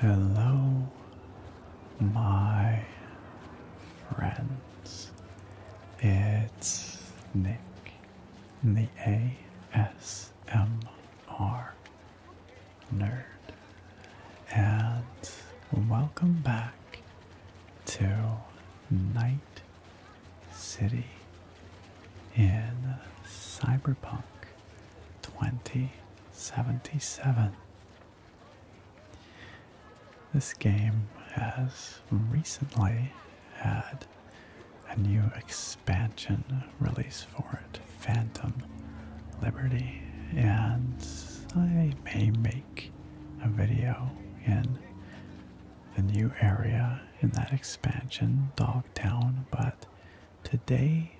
Hello, my friends. It's Nick, the nerd, and welcome back to Night City in Cyberpunk 2077. This game has recently had a new experience expansion release for it, Phantom Liberty, and I may make a video in the new area in that expansion, Dogtown, but today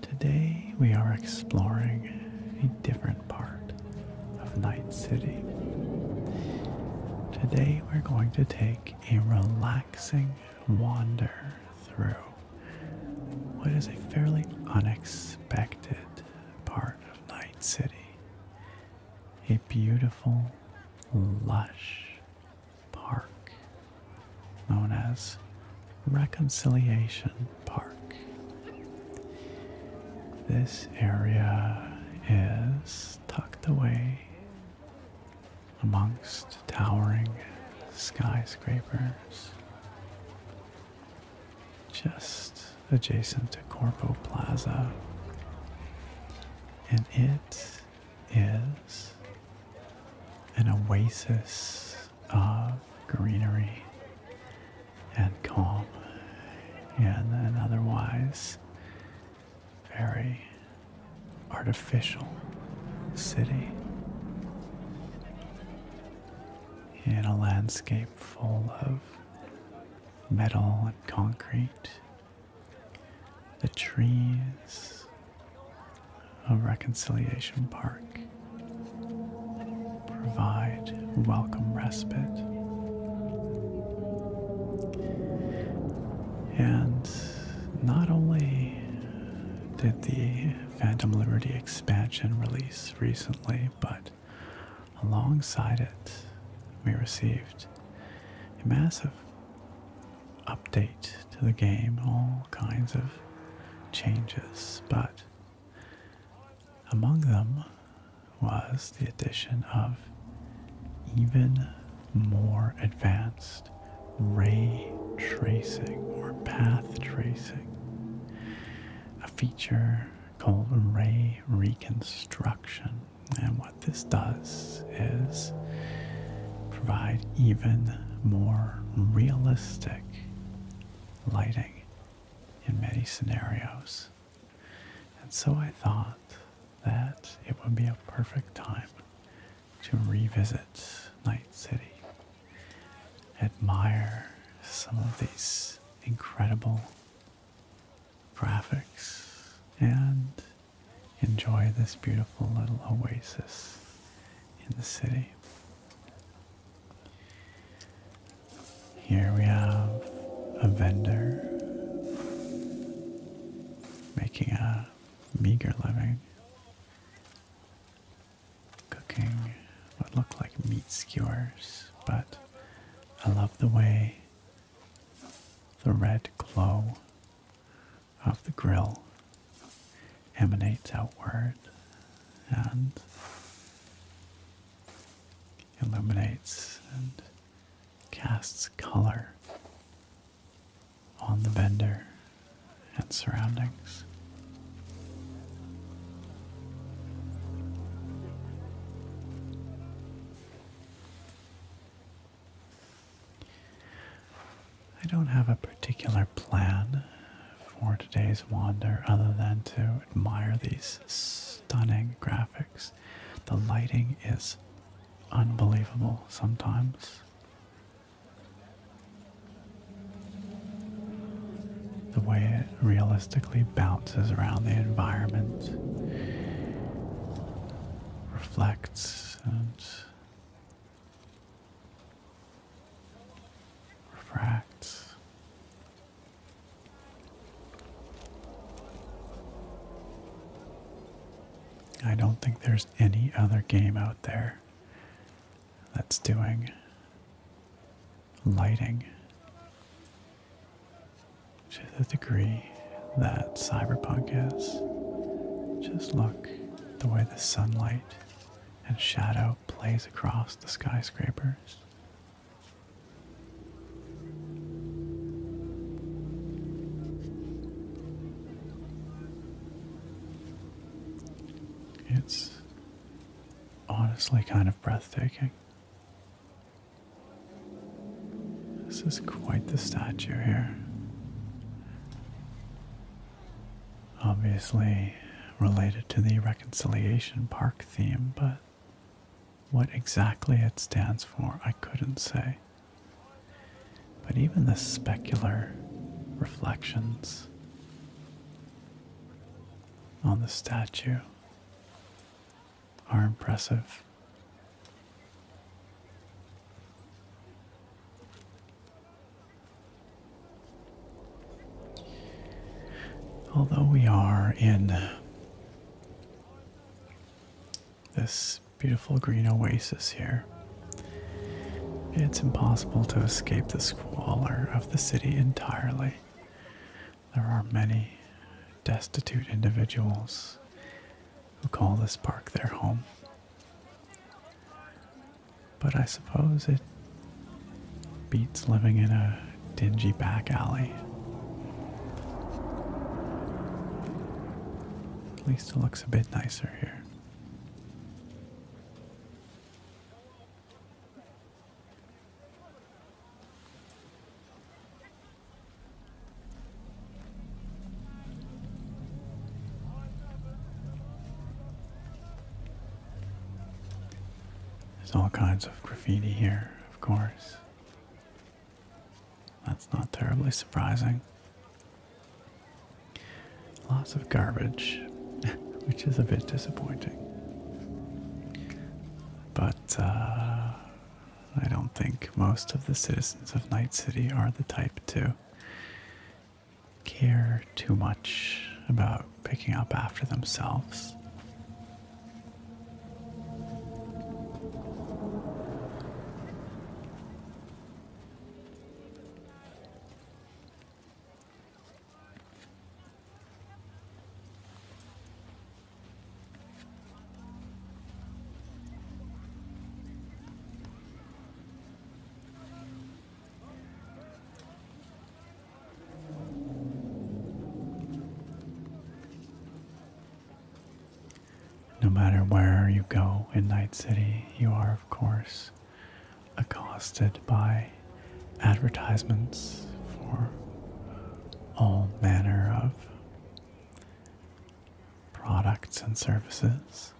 today we are exploring a different part of Night City. Today we're going to take a relaxing wander through what is a fairly unexpected part of Night City. A beautiful, lush park known as Reconciliation Park. This area is tucked away amongst towering skyscrapers just adjacent to Corpo Plaza. And it is an oasis of greenery and calm and an otherwise very artificial city in a landscape full of metal and concrete, the trees of Reconciliation Park provide welcome respite. And not only did the Phantom Liberty expansion release recently, but alongside it, we received a massive update to the game, all kinds of changes, but among them was the addition of even more advanced ray tracing or path tracing, a feature called ray reconstruction. And what this does is provide even more realistic lighting in many scenarios. And so I thought that it would be a perfect time to revisit Night City, admire some of these incredible graphics, and enjoy this beautiful little oasis in the city. Here we have a vendor making a meager living cooking what look like meat skewers, but I love the way the red glow of the grill emanates outward and illuminates and casts color on the vendor and surroundings. I don't have a particular plan for today's wander other than to admire these stunning graphics. The lighting is unbelievable sometimes. The way it realistically bounces around the environment, reflects and refracts. I don't think there's any other game out there that's doing lighting to the degree that cyberpunk is. Just look the way the sunlight and shadow plays across the skyscrapers. It's honestly kind of breathtaking. This is quite the statue here. Obviously related to the Reconciliation Park theme, but what exactly it stands for, I couldn't say. But even the specular reflections on the statue are impressive. Although we are in this beautiful green oasis here, it's impossible to escape the squalor of the city entirely. There are many destitute individuals who call this park their home. But I suppose it beats living in a dingy back alley. At least it looks a bit nicer here. There's all kinds of graffiti here, of course. That's not terribly surprising. Lots of garbage, which is a bit disappointing. But uh, I don't think most of the citizens of Night City are the type to care too much about picking up after themselves. No matter where you go in Night City, you are, of course, accosted by advertisements for all manner of products and services.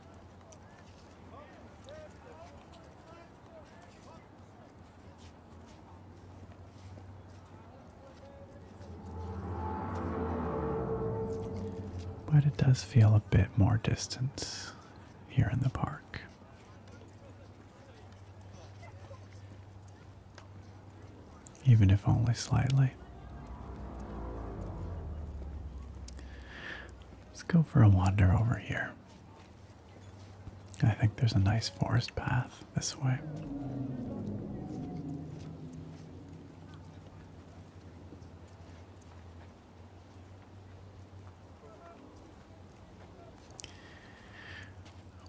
But it does feel a bit more distant here in the park. Even if only slightly. Let's go for a wander over here. I think there's a nice forest path this way.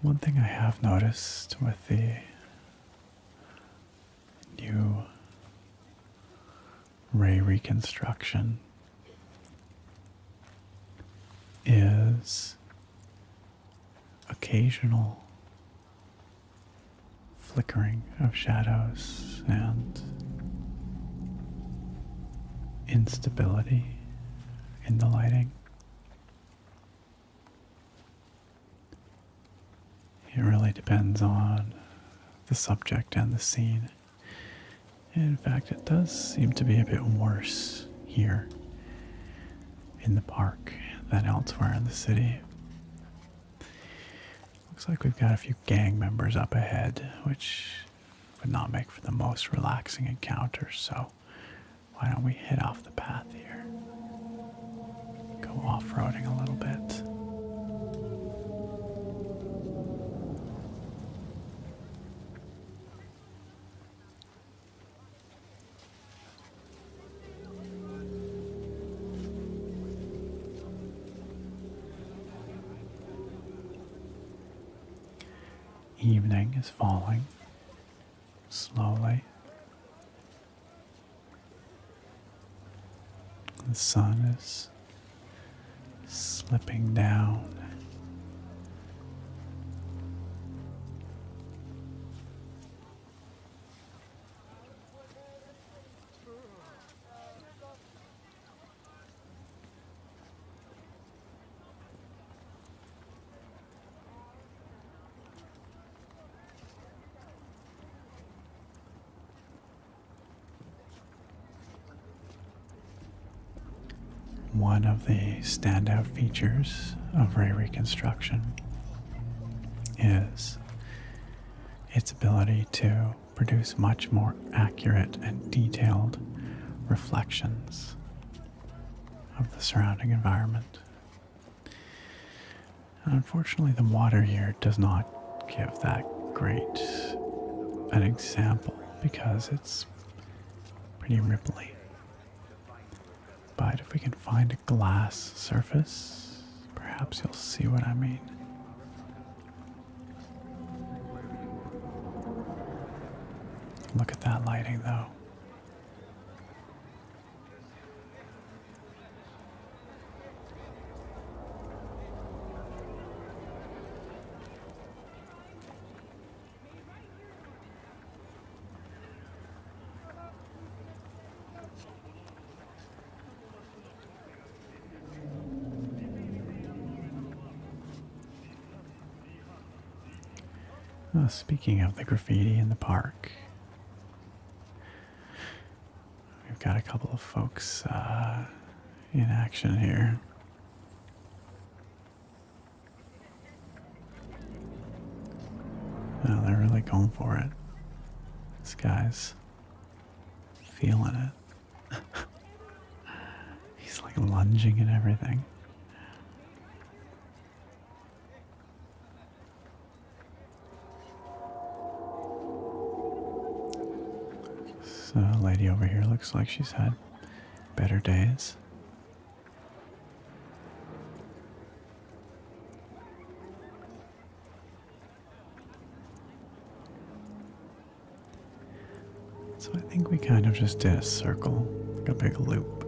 One thing I have noticed with the new ray reconstruction is occasional flickering of shadows and instability in the lighting. It really depends on the subject and the scene. In fact, it does seem to be a bit worse here in the park than elsewhere in the city. Looks like we've got a few gang members up ahead, which would not make for the most relaxing encounter, so why don't we hit off the path here? Go off roading a little bit. Evening is falling slowly. The sun is slipping down. One of the standout features of ray reconstruction is its ability to produce much more accurate and detailed reflections of the surrounding environment. Unfortunately, the water here does not give that great an example because it's pretty ripply. But if we can find a glass surface, perhaps you'll see what I mean. Look at that lighting, though. Uh, speaking of the graffiti in the park, we've got a couple of folks uh, in action here. Oh, they're really going for it. This guy's feeling it. He's like lunging and everything. This lady over here looks like she's had better days. So I think we kind of just did a circle, a big loop.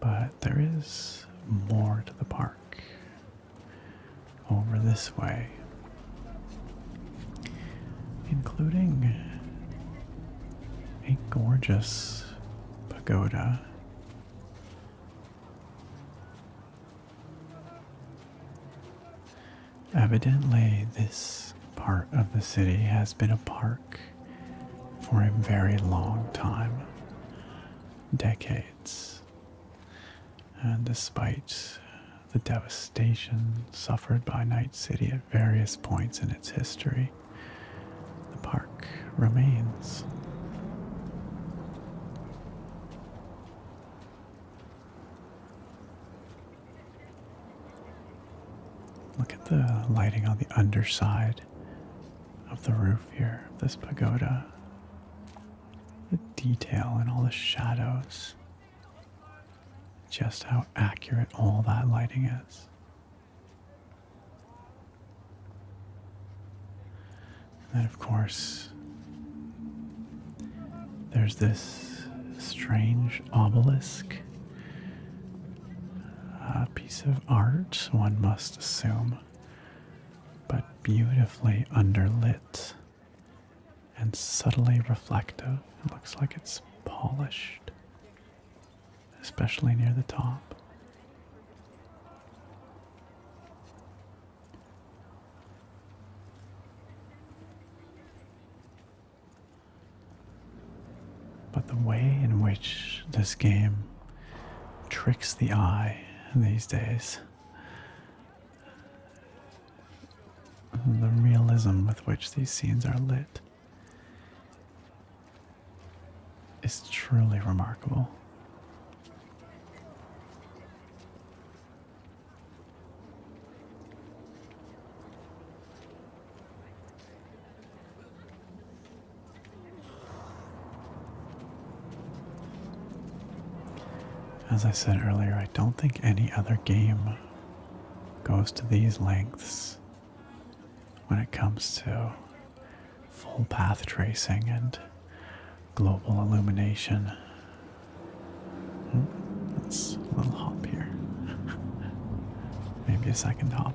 But there is more to the park over this way, including a gorgeous pagoda Evidently, this part of the city has been a park for a very long time decades. And despite the devastation suffered by Night City at various points in its history, the park remains. Look at the lighting on the underside of the roof here, of this pagoda. The detail and all the shadows. Just how accurate all that lighting is. And of course, there's this strange obelisk. A piece of art, one must assume, but beautifully underlit and subtly reflective. It looks like it's polished, especially near the top. But the way in which this game tricks the eye these days, the realism with which these scenes are lit, is truly remarkable. As I said earlier, I don't think any other game goes to these lengths when it comes to full path tracing and global illumination. Hmm, that's a little hop here. Maybe a second hop.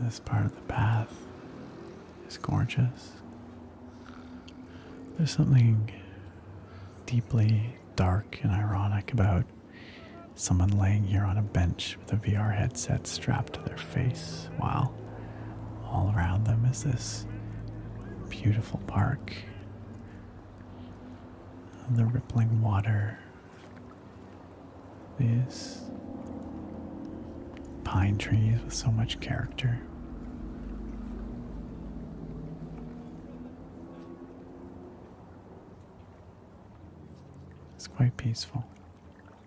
This part of the path is gorgeous. There's something deeply dark and ironic about someone laying here on a bench with a VR headset strapped to their face, while all around them is this beautiful park the rippling water. These pine trees with so much character. It's quite peaceful.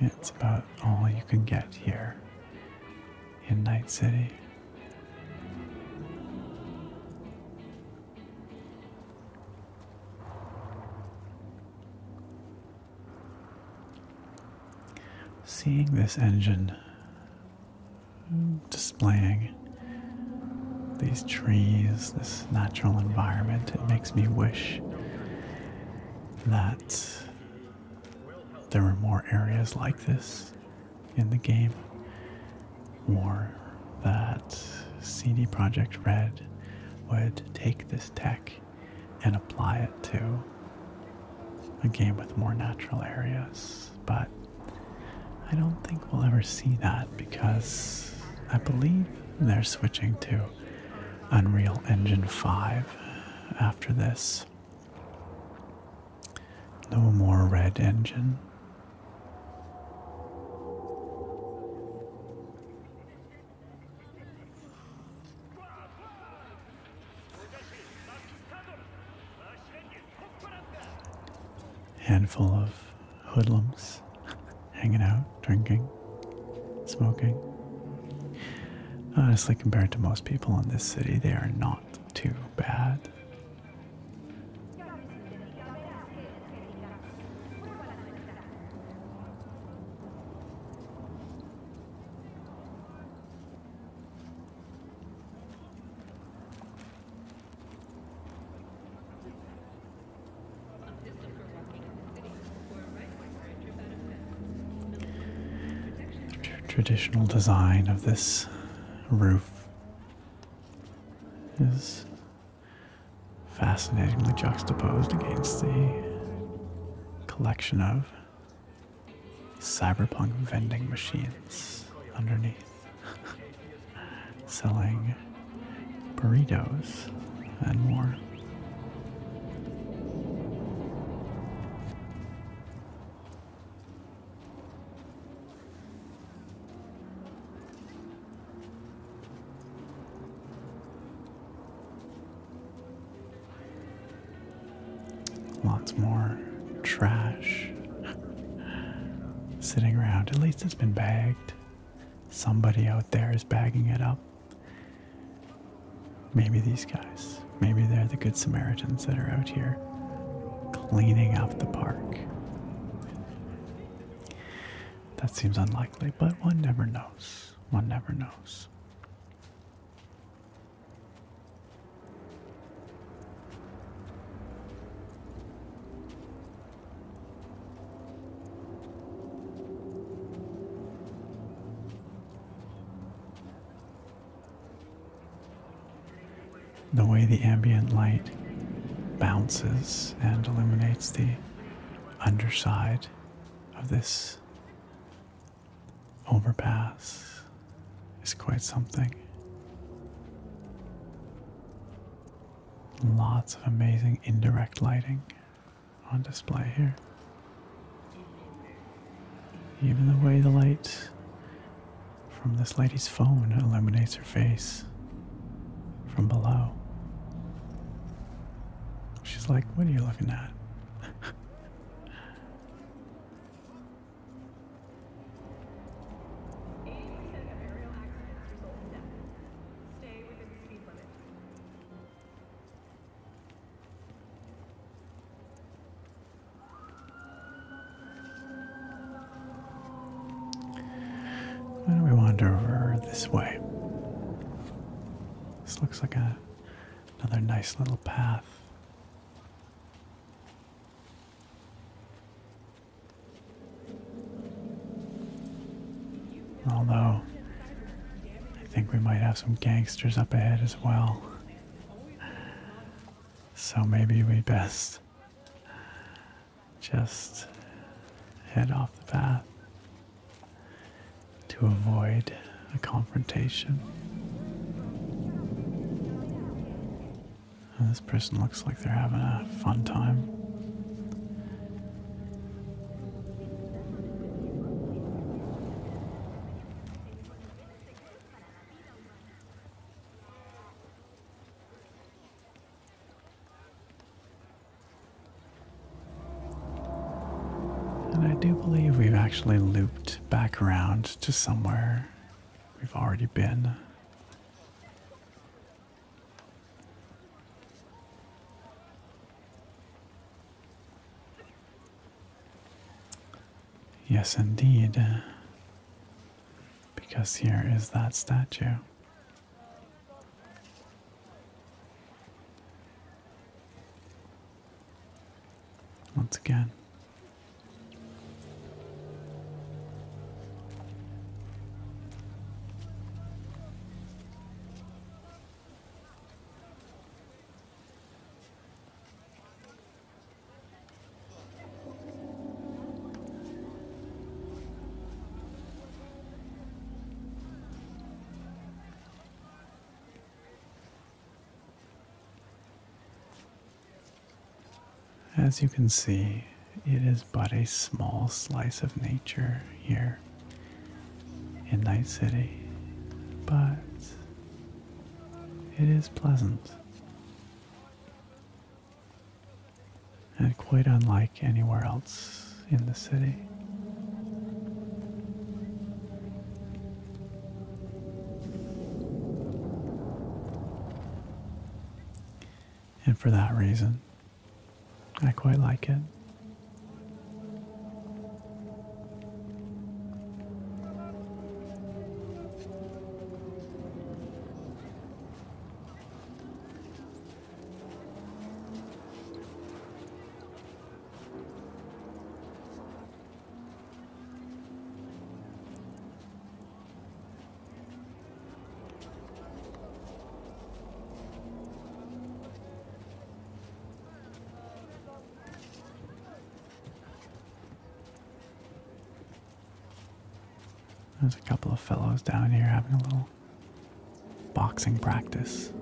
It's about all you can get here in Night City. Seeing this engine displaying these trees, this natural environment, it makes me wish that there were more areas like this in the game, or that CD Projekt Red would take this tech and apply it to a game with more natural areas. But I don't think we'll ever see that because I believe they're switching to Unreal Engine 5 after this. No more red engine. Handful of hoodlums hanging out, drinking, smoking. Honestly, compared to most people in this city, they are not too bad. Traditional design of this roof is fascinatingly juxtaposed against the collection of cyberpunk vending machines underneath. selling burritos and more. Lots more trash sitting around. At least it's been bagged. Somebody out there is bagging it up. Maybe these guys. Maybe they're the Good Samaritans that are out here cleaning up the park. That seems unlikely, but one never knows. One never knows. The way the ambient light bounces and illuminates the underside of this overpass is quite something. Lots of amazing indirect lighting on display here. Even the way the light from this lady's phone illuminates her face from below. She's like, What are you looking at? Stay within the speed limit. Why do not we wander over this way? This looks like a, another nice little path. Although, I think we might have some gangsters up ahead as well. So maybe we best just head off the path to avoid a confrontation. This person looks like they're having a fun time. And I do believe we've actually looped back around to somewhere we've already been. Yes, indeed. Uh, because here is that statue. Once again. As you can see, it is but a small slice of nature here in Night City, but it is pleasant and quite unlike anywhere else in the city. And for that reason, I quite like it. There's a couple of fellows down here having a little boxing practice.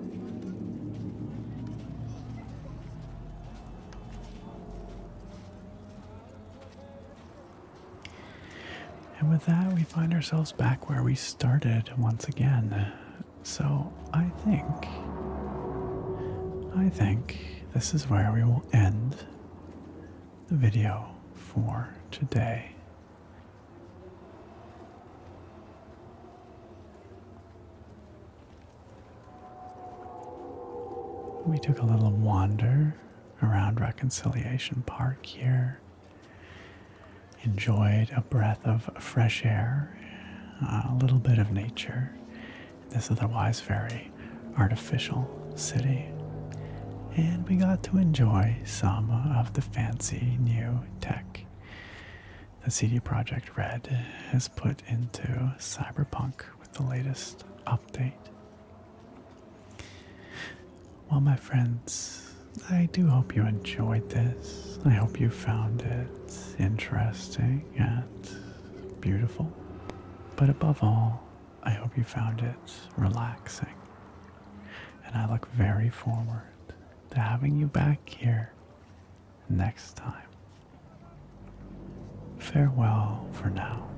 And with that, we find ourselves back where we started once again. So I think. I think this is where we will end the video for today. We took a little wander around Reconciliation Park here enjoyed a breath of fresh air, a little bit of nature This is a wise, very artificial city, and we got to enjoy some of the fancy new tech the CD Projekt Red has put into Cyberpunk with the latest update. Well, my friends, I do hope you enjoyed this. I hope you found it interesting and beautiful. But above all, I hope you found it relaxing. And I look very forward to having you back here next time. Farewell for now,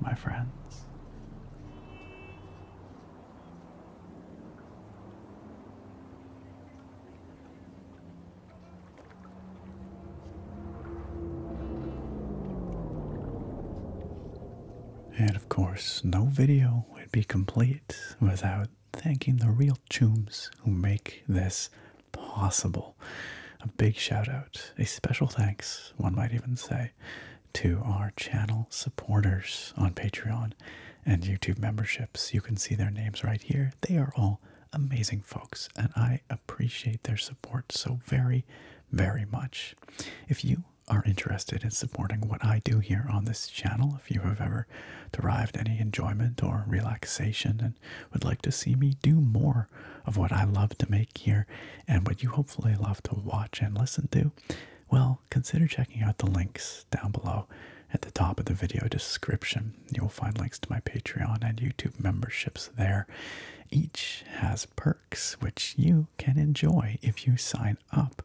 my friends. And of course, no video would be complete without thanking the real chooms who make this possible. A big shout out, a special thanks, one might even say, to our channel supporters on Patreon and YouTube memberships. You can see their names right here. They are all amazing folks, and I appreciate their support so very, very much. If you are interested in supporting what I do here on this channel, if you have ever derived any enjoyment or relaxation and would like to see me do more of what I love to make here and what you hopefully love to watch and listen to, well, consider checking out the links down below at the top of the video description. You'll find links to my Patreon and YouTube memberships there. Each has perks which you can enjoy if you sign up,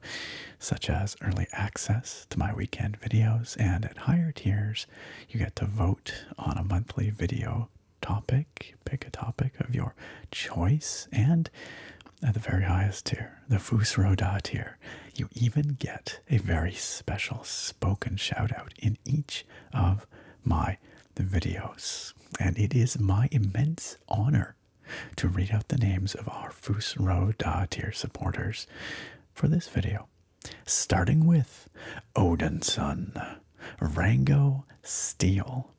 such as early access to my weekend videos, and at higher tiers, you get to vote on a monthly video topic, pick a topic of your choice, and at the very highest tier, here, the Fusroda tier, you even get a very special spoken shout out in each of my videos. And it is my immense honor to read out the names of our Fusroda tier supporters for this video. Starting with Odinson, Rango Steel,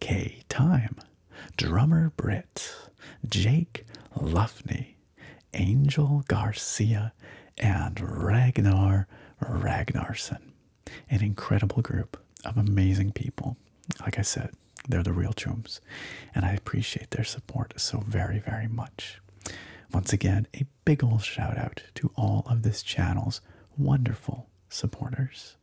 K Time, Drummer Britt, Jake Luffney, Angel Garcia, and Ragnar Ragnarsson. An incredible group of amazing people. Like I said, they're the real chums, and I appreciate their support so very, very much. Once again, a big ol' shout out to all of this channel's wonderful supporters.